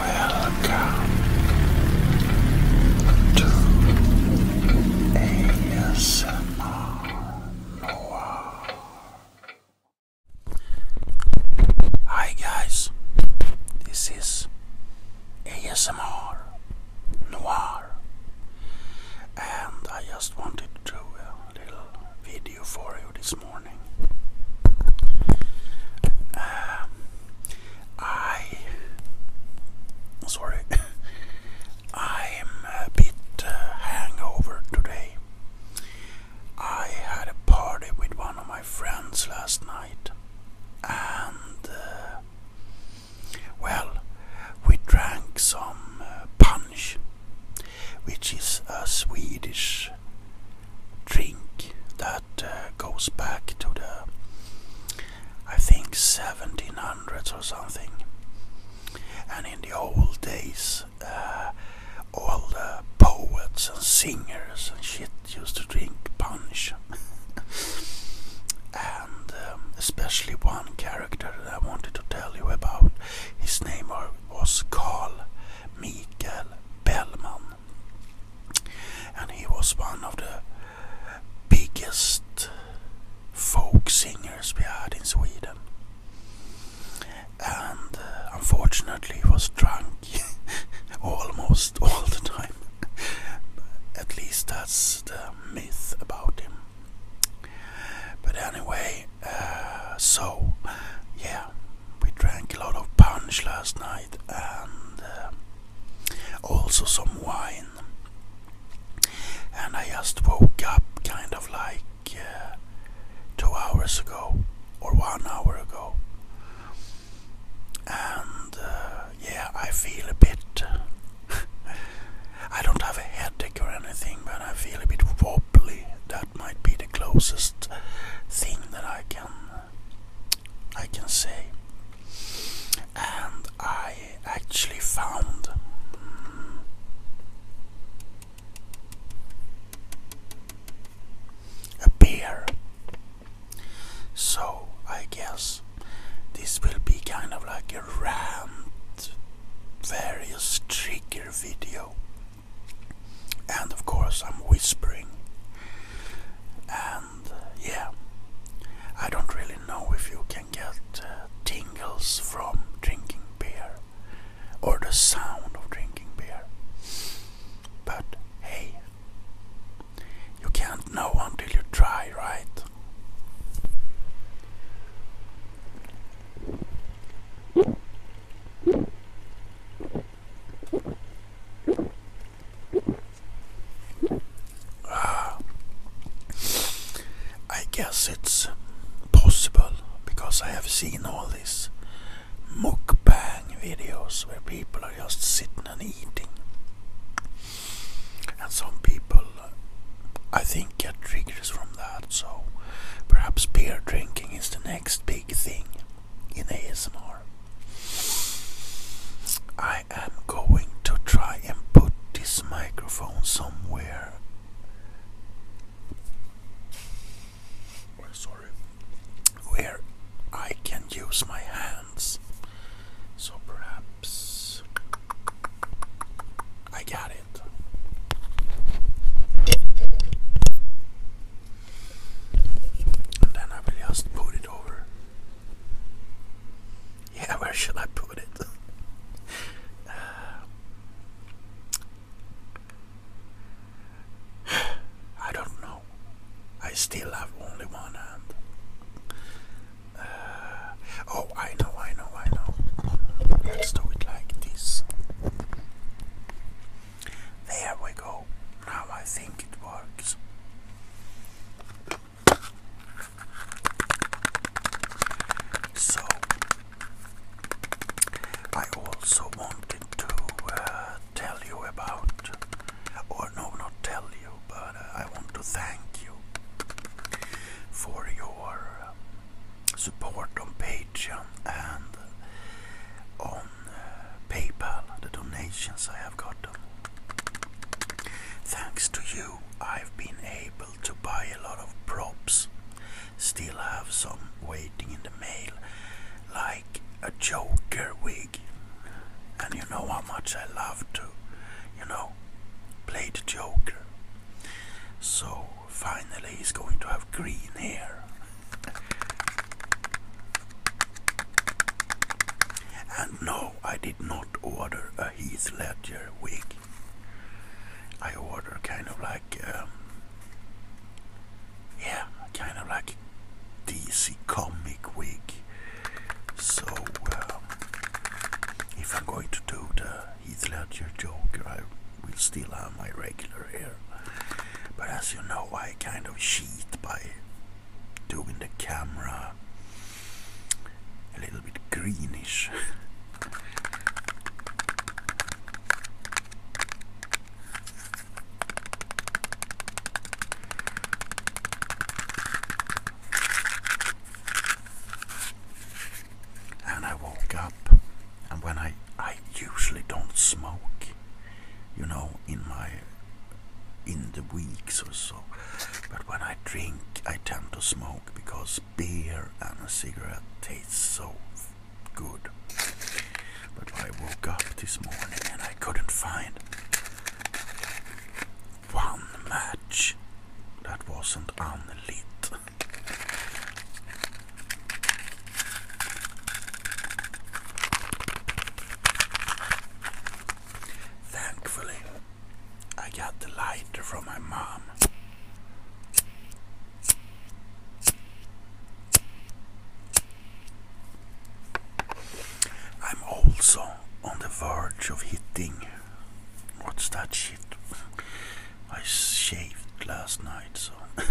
Welcome to ASMR Noir. Hi guys, this is ASMR Noir, and I just wanted to do a little video video this morning. Um, I, sorry, I'm a bit uh, hangover today. I had a party with one of my friends last night, and uh, well, we drank some uh, punch, which is a Swedish drink that uh, goes back to the, I think, 1700s or something. And in the old days, uh, all the poets and singers and shit used to drink punch. and um, especially one character I wanted to tell you about, his name was Carl Mikael Bellman, and he was one of the biggest folk singers we had in Sweden. And uh, unfortunately, he was drunk almost all the time. At least that's the myth about him. But anyway, uh, so, yeah, we drank a lot of punch last night and uh, also some wine. And I just woke up kind of like uh, two hours ago or one hour ago. And uh, yeah, I feel a bit. I don't have a headache or anything, but I feel a bit wobbly might be the closest thing that I can I can say. And I actually found mm, a beer. So I guess this will be kind of like a rant, various triggers video. And of course, I'm whispering. And yeah, I don't really know if you can get uh, tingles from drinking beer or the sound of drinking beer. But hey, you can't know until you try, right? Ah. I guess it's possible because I have seen all these mukbang videos where people are just sitting and eating, and some people I think, get triggers from that. So perhaps beer drinking is the next big thing in ASMR. I am going to try and put this microphone somewhere. where I can use my hands. So perhaps I got it. then I will just put it over. Yeah, where should I put it? I don't know. I still have only one hand. oh, I know, I know, I know. Let's do it like this. There we go. Now I think it works. So, I also wanted to uh, tell you about, or no, not tell you, but I want to thank you for your uh, support on Patreon and on uh, PayPal, the donations I have gotten. Thanks to you, I've been able to buy a lot of props. Still have some waiting in the mail, like a Joker wig. And you know how much I love to, you know, Played a Joker. So finally, he's going to have green hair. And no, I did not order a Heath Ledger wig. I ordered kind of like, um, yeah, kind of like DC comic wig. So, um, if I'm going to do the Heath Ledger joke, I will still have my regular hair. But as you know, I kind of cheat by doing the camera a little bit greenish. And I woke up, and when I I usually don't smoke, you know, in my in the weeks or so. But when I drink, I tend to smoke because beer and a cigarette tastes so good. But I woke up this morning and I couldn't find one match that wasn't unlit. Thankfully, I got the lighter from my mom. I'm also on the verge of hitting. What's that shit? I shaved last night, so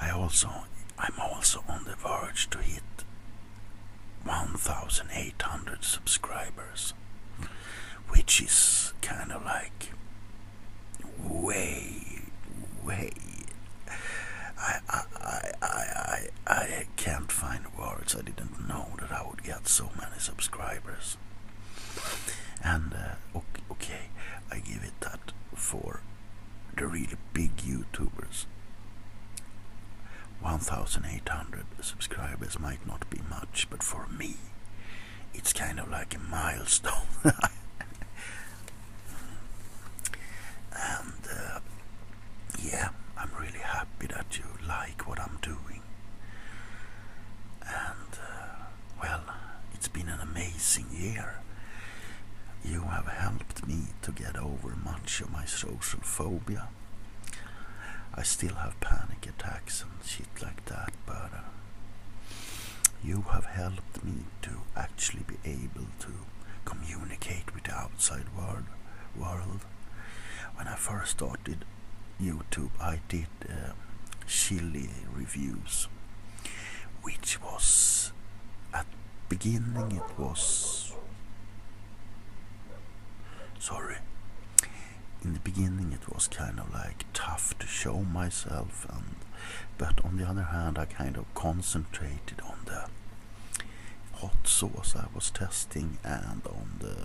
I also I'm also on the verge to hit 1,800 subscribers, which is kind of like way, way. I I I I I, I can't find kind I didn't know that I would get so many subscribers. And uh, okay, I give it that for the really big YouTubers. 1800 subscribers might not be much, but for me, it's kind of like a milestone. and uh, yeah, I'm really happy that you like what I'm doing. And uh, well, it's been an amazing year. You have helped me to get over much of my social phobia. I still have panic attacks and shit like that, but uh, you have helped me to actually be able to communicate with the outside world. world. When I first started YouTube, I did uh, reviews, which was at beginning it was sorry. In the beginning, it was kind of like tough to show myself, and but on the other hand, I kind of concentrated on the hot sauce I was testing and on the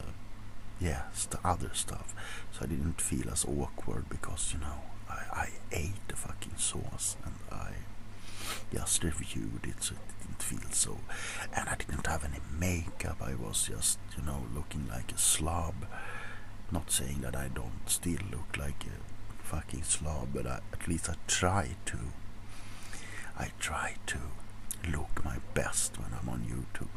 yes the other stuff so I didn't feel as awkward because you know I, I ate the fucking sauce and I just reviewed it so it didn't feel so and I didn't have any makeup I was just you know looking like a slob not saying that I don't still look like a fucking slob but at least I try to I try to look my best when I'm on YouTube.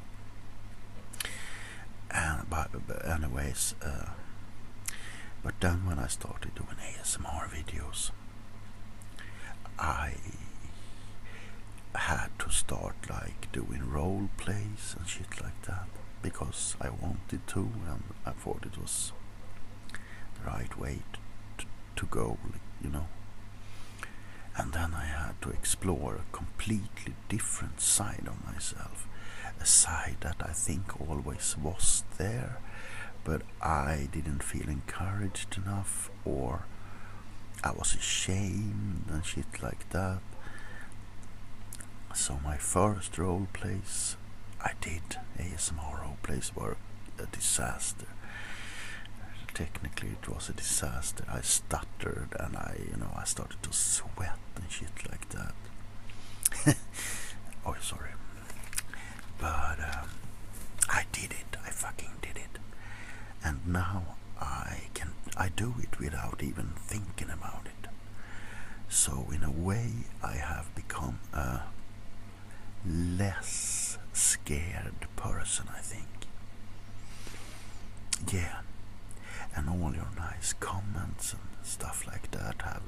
And but, anyways, uh, but then when I started doing ASMR videos, I had to start like doing role plays and shit like that because I wanted to and I thought it was right way to, to go, you know. And then I had to explore a completely different side of myself, a side that I think always was there, but I didn't feel encouraged enough, or I was ashamed and shit like that. So my first role plays I did ASMR place were a disaster. Technically, it was a disaster. I stuttered and I, you know, I started to sweat and shit like that. oh, sorry. But um, I did it. I fucking did it. And now I can. I do it without even thinking about it. So in a way, I have become a less scared person, I think. Yeah, and all your nice comments and stuff like that have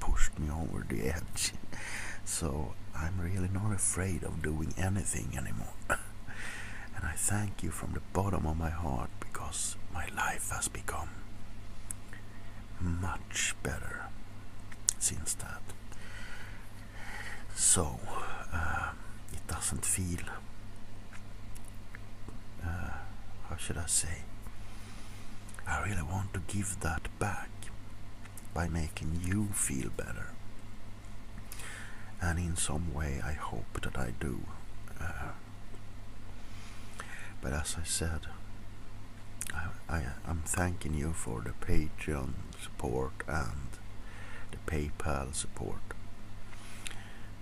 pushed me over the edge. so I'm really not afraid of doing anything anymore. and I thank you from the bottom of my heart because my life has become much better since that. So uh, it doesn't feel, uh, how should I say, I really want to give that back by making you feel better. And in some way, I hope that I do. Uh, but as I said, I, am thanking you for the Patreon support and the PayPal support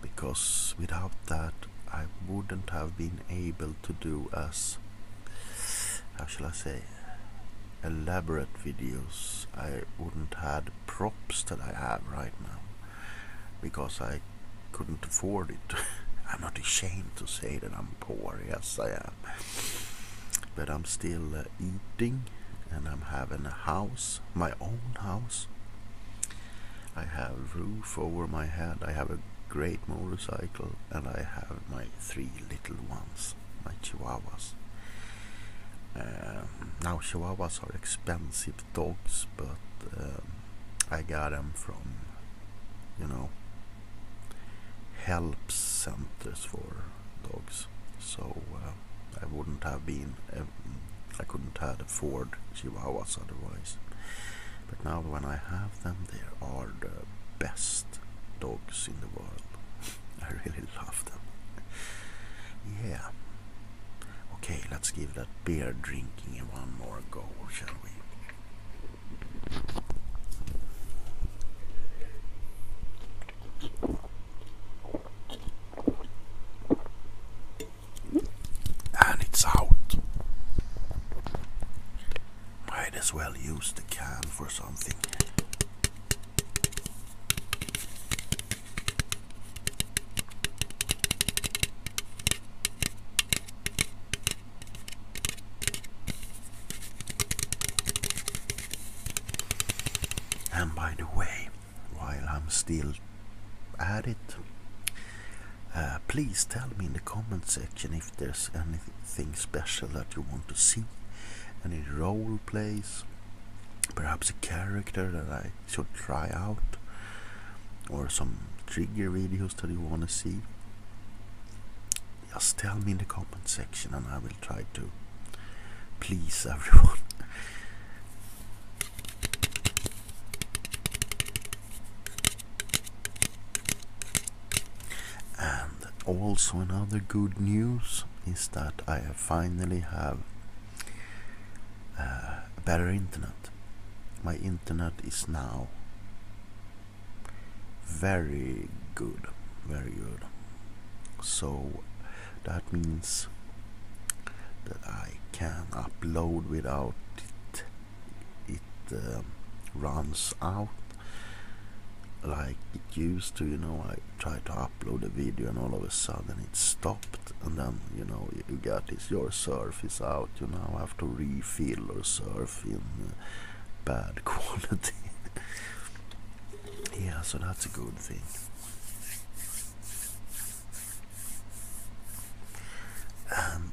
because without that I wouldn't have been able to do as how shall I say elaborate videos I wouldn't had props that I have right now because I couldn't afford it. I'm not ashamed to say that I'm poor, yes I am. But I'm still uh, eating and I'm having a house, my own house. I have roof over my head, I have a great motorcycle and I have my three little ones, my chihuahuas. Um, now chihuahuas are expensive dogs but um, I got them from, you know, help centers for dogs. So uh, I wouldn't have been, I couldn't have afford was otherwise. But now when I have them, they are the best dogs in the world. I really love them. yeah. Okay, let's give that beer drinking one more go, shall we? And it's out. Might as well use the can for something. And by the way, while I'm still at it, uh, please tell me in the comment section if there's anything special that you want to see. Any role plays, perhaps a character that I should try out or some trigger videos that you want to see just tell me in the comment section and I will try to please everyone and also another good news is that I finally have Eh, better internet. My internet is now very good, very good. So that means that I can upload without it it um, runs out like it used to you know I tried to upload a video and all of a sudden it stopped and then you know you get this your surf is out you now have to refill your surf in uh, bad quality yeah so that's a good thing and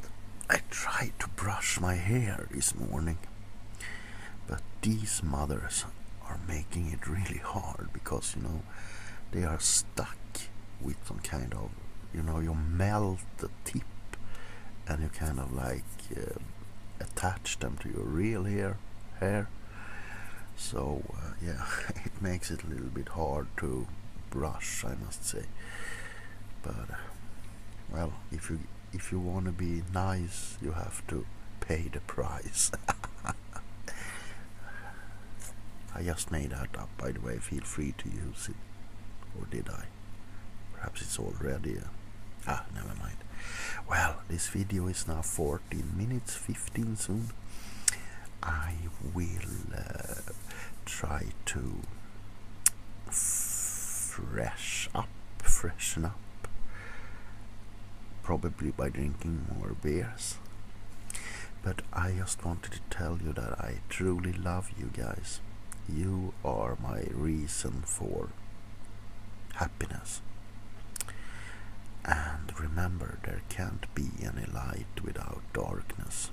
I tried to brush my hair this morning but these mothers are making it really hard because you know they are stuck with some kind of you know you melt the tip and you kind of like uh, attach them to your real hair hair so uh, yeah it makes it a little bit hard to brush I must say but uh, well if you if you want to be nice you have to pay the price I just made that up, by the way. Feel free to use it. Or did I? Perhaps it's already. Uh, ah, never mind. Well, this video is now 14 minutes, 15 soon. I will uh, try to fresh up, freshen up, probably by drinking more beers. But I just wanted to tell you that I truly love you guys. You are my reason for happiness. And remember, there can't be any light without darkness.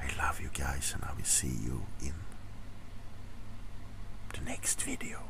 I love you guys and I will see you in the next video.